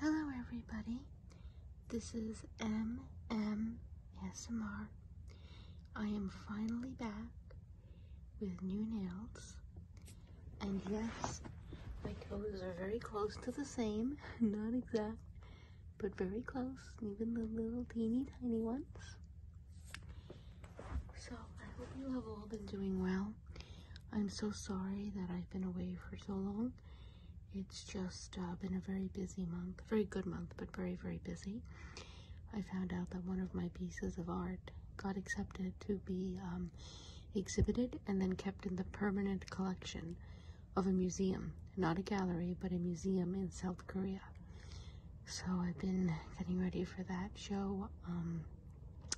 Hello, everybody. This is MM I am finally back with new nails. And yes, my toes are very close to the same. Not exact, but very close. Even the little teeny tiny ones. So I hope you have all been doing well. I'm so sorry that I've been away for so long. It's just uh, been a very busy month, very good month, but very, very busy. I found out that one of my pieces of art got accepted to be um, exhibited and then kept in the permanent collection of a museum, not a gallery, but a museum in South Korea. So I've been getting ready for that show. Um,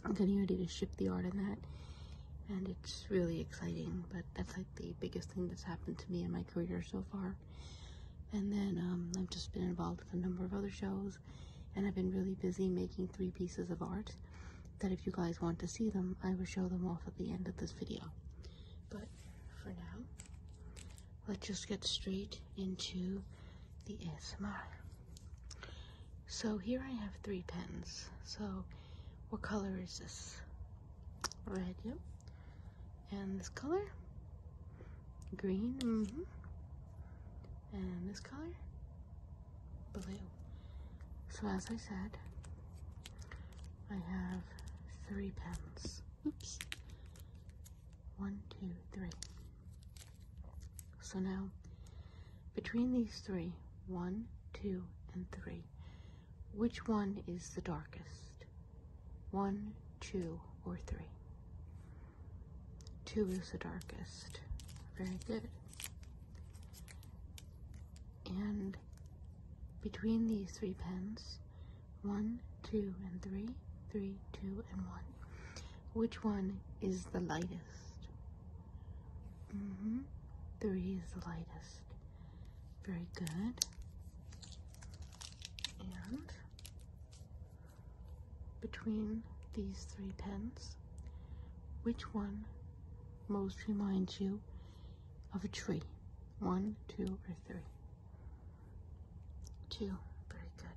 I'm getting ready to ship the art in that, and it's really exciting. But that's like the biggest thing that's happened to me in my career so far. And then um, I've just been involved with a number of other shows, and I've been really busy making three pieces of art. That if you guys want to see them, I will show them off at the end of this video. But for now, let's just get straight into the ASMR. So here I have three pens. So what color is this? Red, yep. And this color? Green, mm-hmm. And this color? Blue. So as I said, I have three pens. Oops. One, two, three. So now, between these three, one, two, and three, which one is the darkest? One, two, or three? Two is the darkest. Very good. And between these three pens, one, two, and three, three, two, and one. Which one is the lightest? Mm-hmm. Three is the lightest. Very good. And between these three pens, which one most reminds you of a tree? One, two, or three? Two. Very good.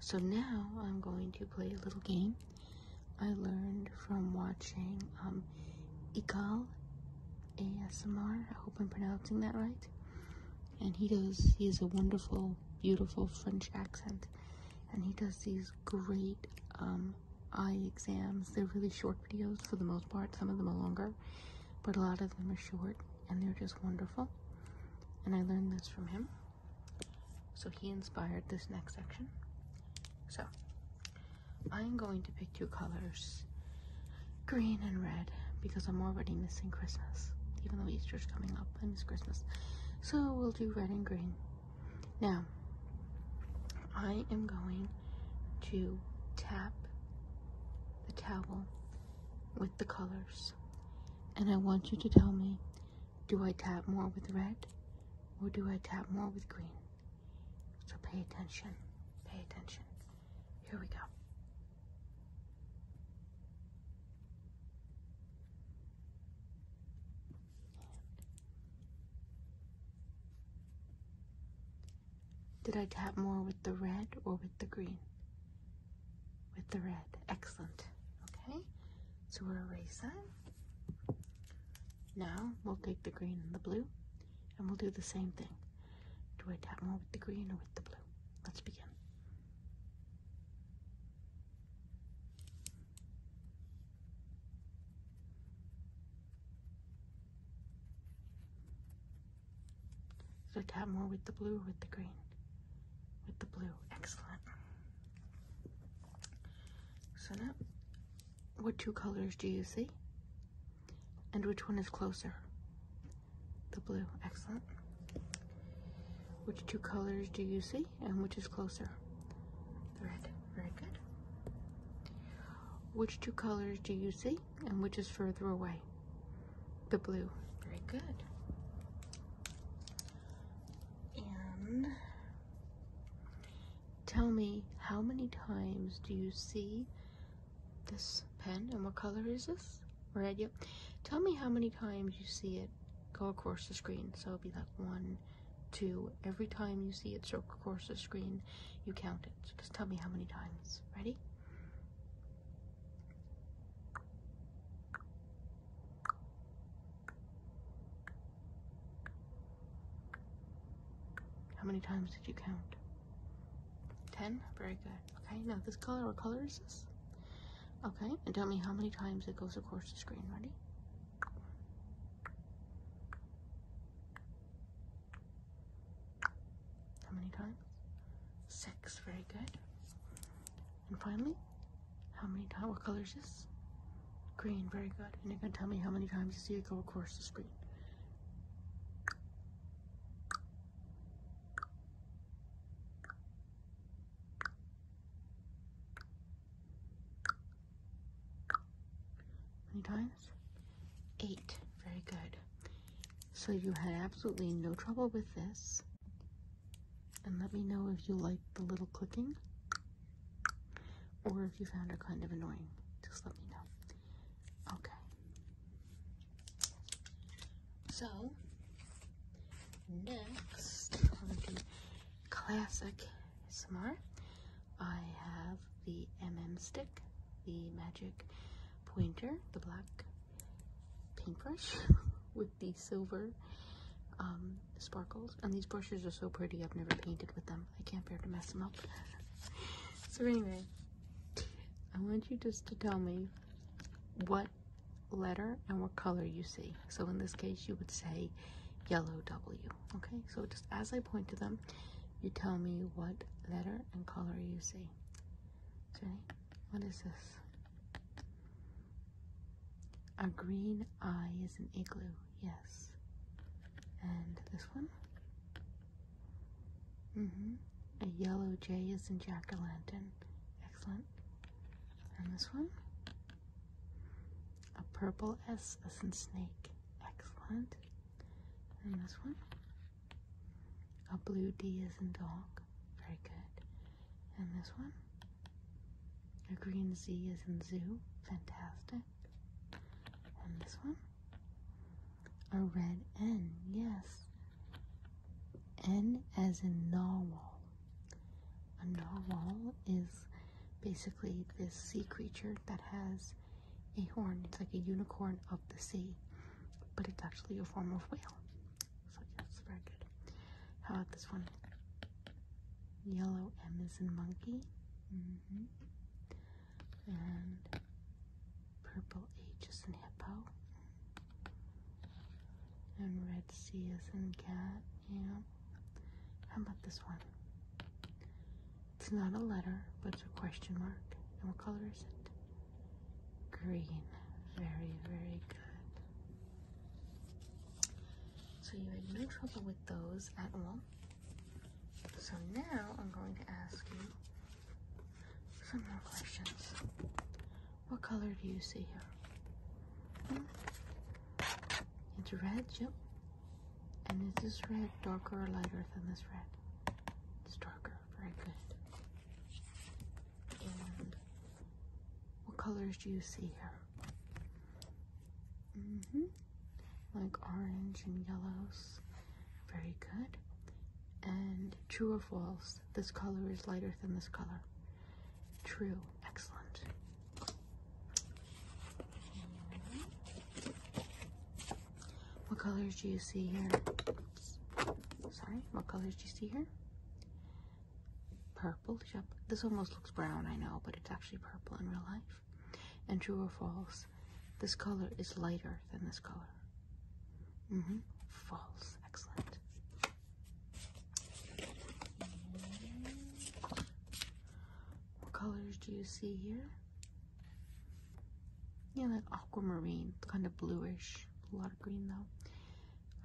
So now I'm going to play a little game I learned from watching um, Igal ASMR. I hope I'm pronouncing that right. And he does, he has a wonderful, beautiful French accent. And he does these great um, eye exams. They're really short videos for the most part. Some of them are longer, but a lot of them are short and they're just wonderful. And I learned this from him. So he inspired this next section. So I'm going to pick two colors, green and red, because I'm already missing Christmas. Even though Easter's coming up, and it's Christmas. So we'll do red and green. Now, I am going to tap the towel with the colors. And I want you to tell me do I tap more with red or do I tap more with green? So pay attention. Pay attention. Here we go. Did I tap more with the red or with the green? with the red. Excellent. Okay, so we'll erase that. Now we'll take the green and the blue and we'll do the same thing. Do I tap more with the green or with the blue? Let's begin. So tap more with the blue or with the green? with the blue. Excellent. So now, what two colors do you see? And which one is closer? The blue. Excellent. Which two colors do you see? And which is closer? The red. Very good. Which two colors do you see? And which is further away? The blue. Very good. And tell me how many times do you see this pen and what color is this? Red, yep. Tell me how many times you see it go across the screen. So it'll be like one, two. Every time you see it circle across the screen, you count it. So just tell me how many times. Ready? How many times did you count? Ten? Very good. Okay, now this color, what color is this? Okay, and tell me how many times it goes across the screen. Ready? How many times? Six. Very good. And finally, how many times? What color is this? Green. Very good. And you're going to tell me how many times you see it go across the screen. many times? Eight. Very good. So you had absolutely no trouble with this. And let me know if you like the little clicking or if you found it kind of annoying. Just let me know. Okay. So, next classic SMR, I have the MM stick, the magic pointer, the black paintbrush with the silver um, sparkles. And these brushes are so pretty, I've never painted with them. I can't bear to mess them up. so anyway, I want you just to tell me what letter and what color you see. So in this case, you would say yellow W. Okay, so just as I point to them, you tell me what letter and color you see. Jenny, what is this? A green eye is an igloo, yes. And this one? hmm A yellow J is in jack-o'-lantern. Excellent. And this one? A purple S is in snake. Excellent. And this one? A blue D is in dog. Very good. And this one? A green Z is in zoo. Fantastic. And this one? A red N. Yes. N as in novel. A novel is basically this sea creature that has a horn. It's like a unicorn of the sea, but it's actually a form of whale. So yeah, it's very good. How about this one? Yellow M is in monkey. -hmm. And purple H is in hippo. And red C is in cat. Yeah. How about this one? It's not a letter, but it's a question mark. And what color is it? green. Very, very good. So you had no trouble with those at all. So now I'm going to ask you some more questions. What color do you see here? Hmm? It's red, Jim. And is this red darker or lighter than this red? It's darker. Very good what colors do you see here? -hmm. Like orange and yellows. Very good. And true of walls, this color is lighter than this color. True. Excellent. What colors do you see here? Sorry, what colors do you see here? Purple. This almost looks brown, I know, but it's actually purple in real life. And true or false, this color is lighter than this color. Mm hmm. False. Excellent. What colors do you see here? Yeah, like aquamarine, kind of bluish. A lot of green though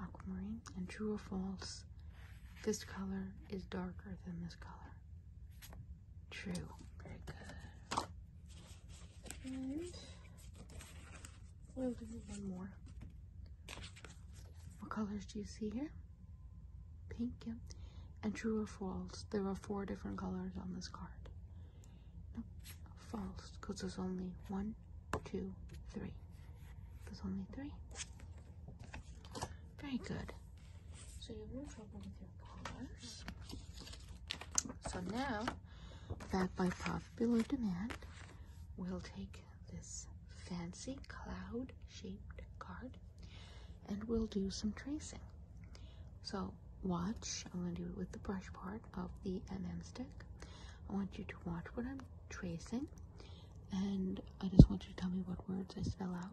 aquamarine. And true or false, this color is darker than this color. True. Very good. And we'll do one more. What colors do you see here? Pink, yeah. And true or false, there are four different colors on this card no, false because there's only one, two, three. There's only three. Very good. So you have no trouble with your colors. So now, back by popular demand, we'll take this fancy cloud shaped card and we'll do some tracing. So watch, I'm going to do it with the brush part of the Mn stick. I want you to watch what I'm tracing and I just want you to tell me what words I spell out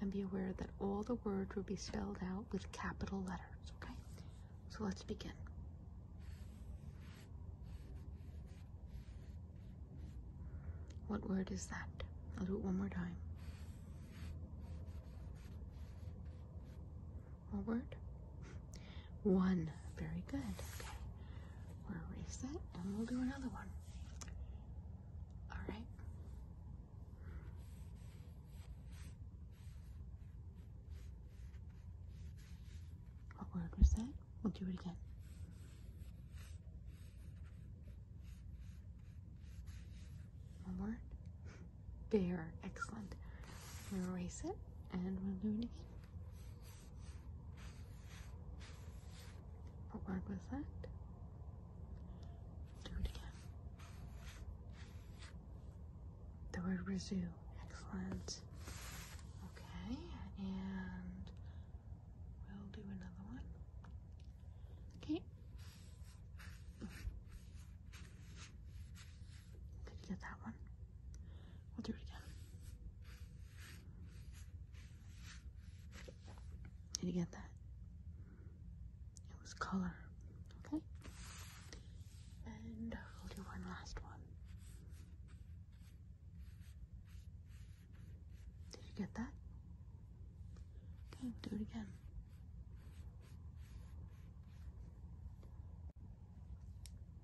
and be aware that all the words will be spelled out with capital letters, okay? So let's begin. What word is that? I'll do it one more time forward. One. Very good. Okay. We'll erase that and we'll do another one. Alright. What word was that? We'll do it again. One word. Bear. Excellent. We'll erase it and we'll do it again. What word was that? Do it again. The word resume. Excellent. Okay, and we'll do another one. Okay. Did you get that one? We'll do it again. Did you get that? It was color. Okay. And we'll do one last one. Did you get that? Okay, we'll do it again.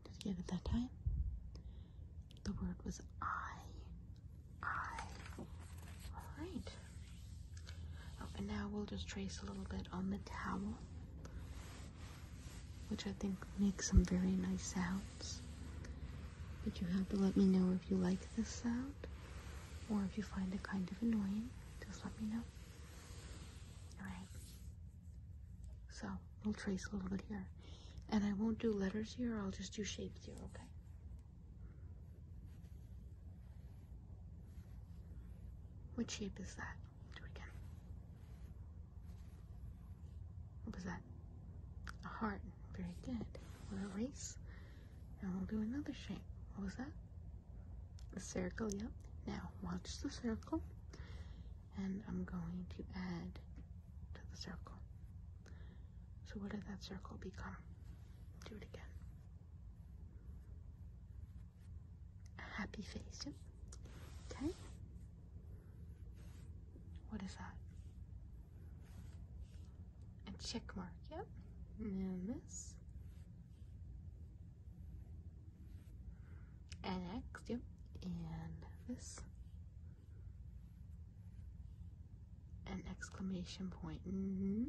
Did you get it that time? The word was I. I. Alright. Oh, and now we'll just trace a little bit on the towel, which I think makes some very nice sounds. But you have to let me know if you like this sound or if you find it kind of annoying. Just let me know. Alright. So we'll trace a little bit here. And I won't do letters here, I'll just do shapes here, okay? What shape is that? Do it again. What was that? A heart. Very good. We'll erase. And we'll do another shape. What was that? A circle, yep. Now watch the circle and I'm going to add to the circle. So what did that circle become? Do it again. A happy face. Okay. What is that? A check mark, yep. And this X, yep, and this. An exclamation point. Mm-hmm.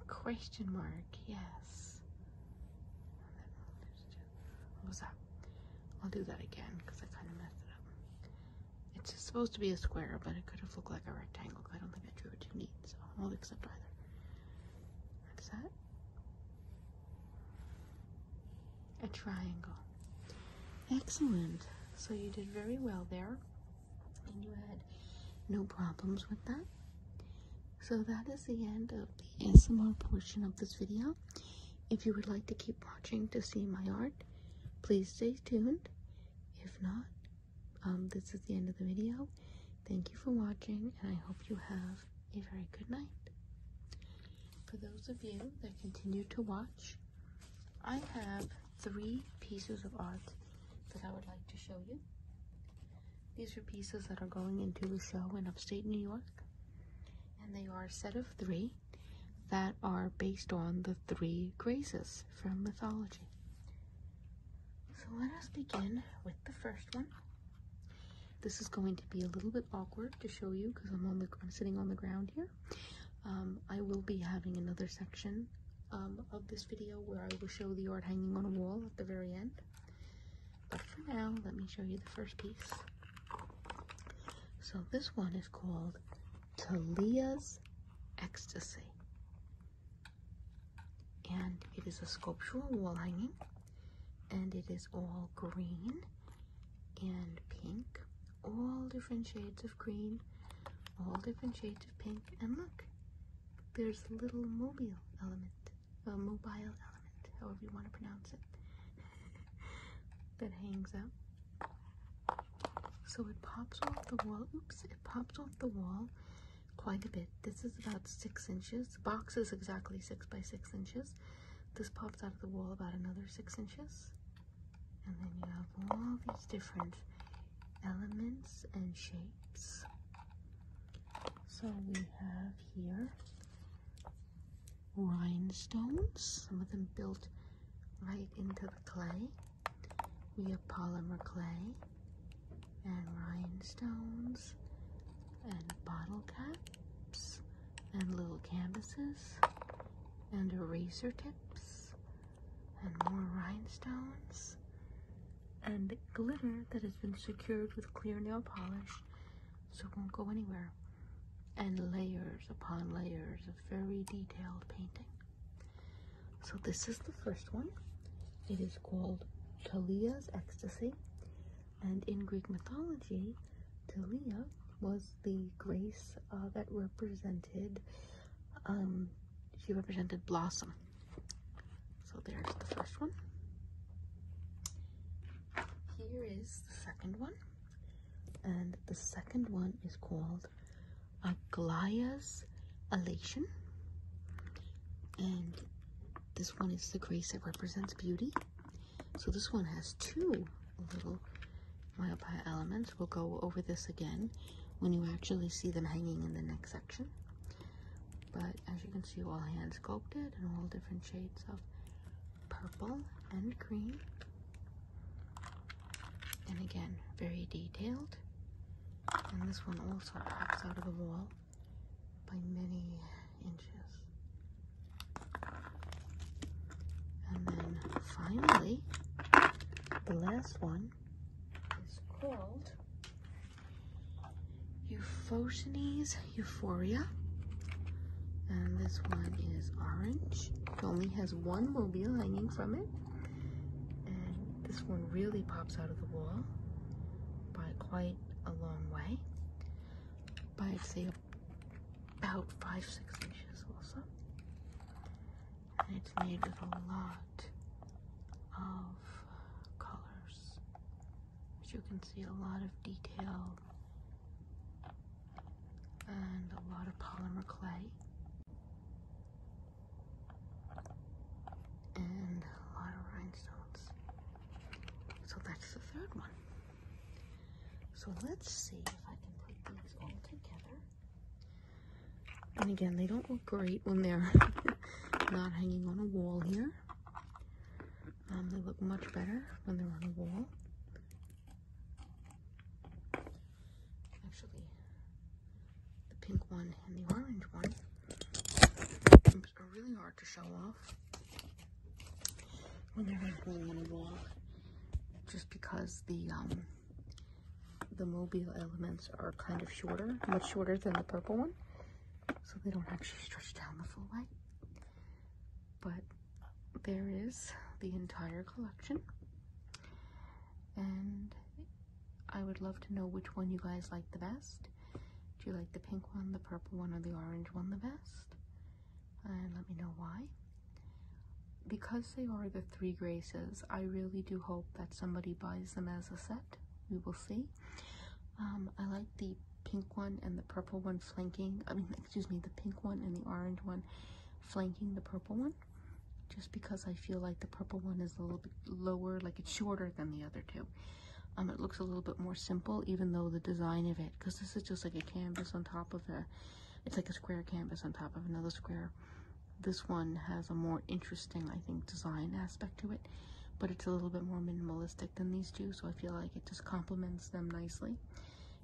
A question mark, yes. What was that? I'll do that again because I kind of messed it up. It's supposed to be a square, but it could have looked like a rectangle. I don't think I drew it too neat, so I won't accept either. What's that? A triangle. Excellent. So you did very well there, and you had no problems with that. So that is the end of the ASMR portion of this video. If you would like to keep watching to see my art, please stay tuned. If not, um, this is the end of the video. Thank you for watching, and I hope you have a very good night. For those of you that continue to watch, I have three pieces of art that I would like to show you. These are pieces that are going into a show in upstate New York, and they are a set of three that are based on the three graces from mythology. So let us begin with the first one. This is going to be a little bit awkward to show you because I'm on the I'm sitting on the ground here. Um, I will be having another section um, of this video where I will show the art hanging on a wall at the very end. But for now, let me show you the first piece. So this one is called Talia's Ecstasy. And it is a sculptural wall hanging, and it is all green and pink, all different shades of green, all different shades of pink, and look, there's a little mobile element, a mobile element, however you want to pronounce it, that hangs up. So it pops off the wall. Oops, it pops off the wall quite a bit. This is about six inches. The box is exactly six by six inches. This pops out of the wall about another six inches. And then you have all these different elements and shapes. So we have here rhinestones, some of them built right into the clay. We have polymer clay and rhinestones and bottle caps and little canvases and eraser tips and more rhinestones and glitter that has been secured with clear nail polish so it won't go anywhere and layers upon layers of very detailed painting. So this is the first one. It is called Talia's Ecstasy. And in Greek mythology, Talia was the grace uh, that represented, um, she represented blossom. So there's the first one. Here is the second one. And the second one is called Aglaia's Elation. And this one is the grace that represents beauty. So this one has two little myopia elements. We'll go over this again when you actually see them hanging in the next section. But as you can see, all hand sculpted and all different shades of purple and green. And again, very detailed. And this one also pops out of the wall by many inches. And then finally, the last one is called Euphotines Euphoria. And this one is orange. It only has one mobile hanging from it and this one really pops out of the wall by quite a long way by I'd say about five six inches also and it's made with a lot of colors as you can see a lot of detail and a lot of polymer clay and a lot of rhinestones. So that's the third one. So let's see if I can put these all together. And again, they don't look great when they're not hanging on a wall here. Um, they look much better when they're on a wall actually the pink one and the orange one are really hard to show off when they're not on a wall just because the um, the mobile elements are kind of shorter much shorter than the purple one so they don't actually stretch down the full light but there is the entire collection and I would love to know which one you guys like the best. Do you like the pink one, the purple one, or the orange one the best? And let me know why. Because they are the three graces, I really do hope that somebody buys them as a set. We will see. Um, I like the pink one and the purple one flanking, I mean, excuse me, the pink one and the orange one flanking the purple one just because I feel like the purple one is a little bit lower, like it's shorter than the other two. Um, it looks a little bit more simple, even though the design of it, because this is just like a canvas on top of a, it's like a square canvas on top of another square. This one has a more interesting, I think, design aspect to it, but it's a little bit more minimalistic than these two, so I feel like it just complements them nicely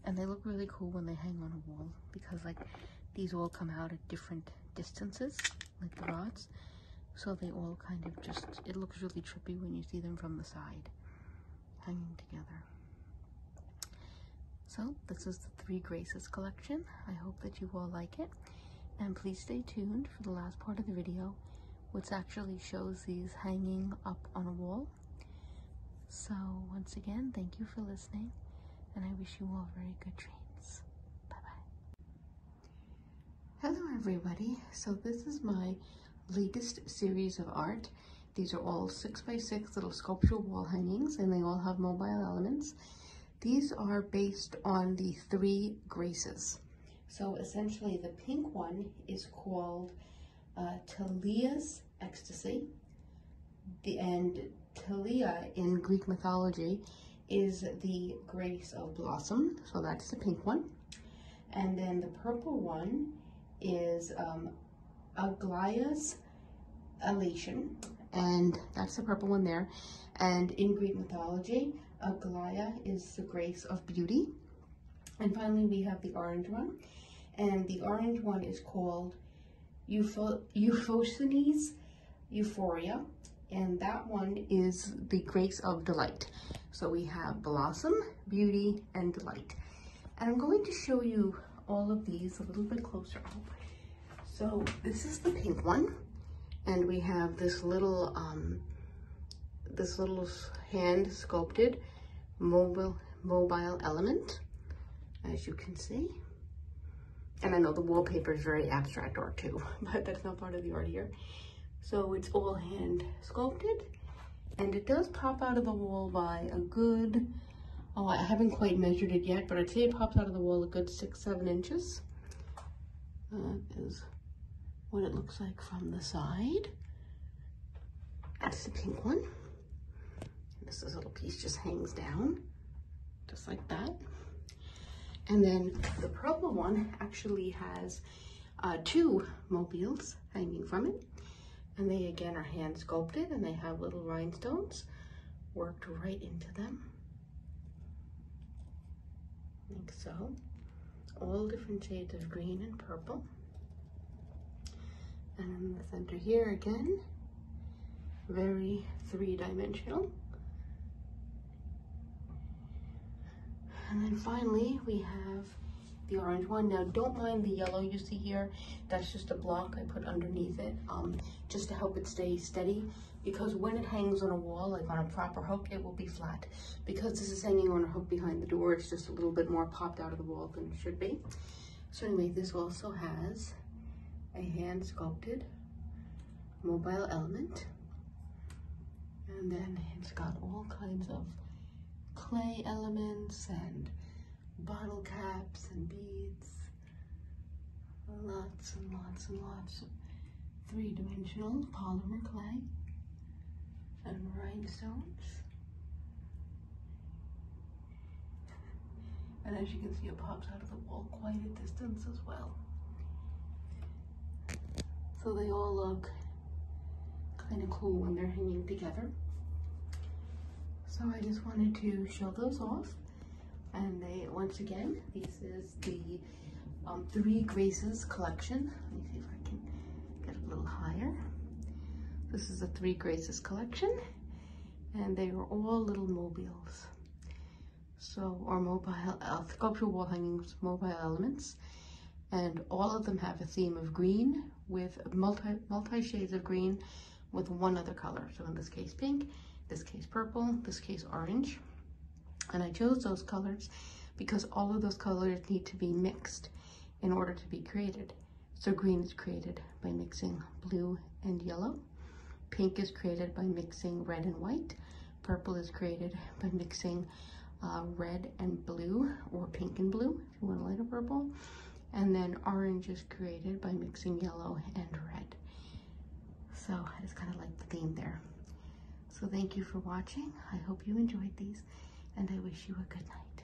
and they look really cool when they hang on a wall because like these all come out at different distances like the rods so they all kind of just it looks really trippy when you see them from the side hanging together so this is the three graces collection i hope that you all like it and please stay tuned for the last part of the video which actually shows these hanging up on a wall so once again thank you for listening and I wish you all very good dreams. Bye bye. Hello, everybody. So, this is my latest series of art. These are all 6 by 6 little sculptural wall hangings, and they all have mobile elements. These are based on the three graces. So essentially the pink one is called uh, Talia's ecstasy. The, and Talia in Greek mythology is the grace of blossom, so that's the pink one. And then the purple one is um, Aglaia's elation, and that's the purple one there. And in Greek mythology, Aglaia is the grace of beauty. And finally, we have the orange one, and the orange one is called Euphonies, Euphoria, and that one is the Grace of Delight. So we have Blossom, Beauty, and Delight. And I'm going to show you all of these a little bit closer So this is the pink one, and we have this little, um, this little hand sculpted mobile mobile element, as you can see. And I know the wallpaper is very abstract art too, but that's not part of the art here. So it's all hand sculpted and it does pop out of the wall by a good, oh, I haven't quite measured it yet, but I'd say it pops out of the wall a good six, seven inches. That is what it looks like from the side. That's the pink one this little piece just hangs down, just like that. And then the purple one actually has uh, two mobiles hanging from it. And they again are hand sculpted and they have little rhinestones worked right into them. Like so. All different shades of green and purple. And the center here again, very three-dimensional. And then finally, we have the orange one. Now, don't mind the yellow you see here. That's just a block I put underneath it um, just to help it stay steady because when it hangs on a wall, like on a proper hook, it will be flat. Because this is hanging on a hook behind the door, it's just a little bit more popped out of the wall than it should be. So anyway, this also has a hand sculpted mobile element. And then it's got all kinds of clay elements and bottle caps and beads. Lots and lots and lots of three-dimensional polymer clay and rhinestones. And as you can see, it pops out of the wall quite a distance as well. So they all look kind of cool when they're hanging together. So I just wanted to show those off. And they, once again, this is the um, Three Graces collection. Let me see if I can get a little higher. This is the Three Graces collection and they are all little mobiles. So, or mobile, uh, sculptural wall hangings, mobile elements. And all of them have a theme of green with multi, multi shades of green with one other color. So in this case, pink, this case, purple, this case, orange. And I chose those colors because all of those colors need to be mixed in order to be created. So green is created by mixing blue and yellow. Pink is created by mixing red and white. Purple is created by mixing uh, red and blue or pink and blue if you want a lighter purple. And then orange is created by mixing yellow and red. So it's kind of like the theme there. So thank you for watching. I hope you enjoyed these and I wish you a good night.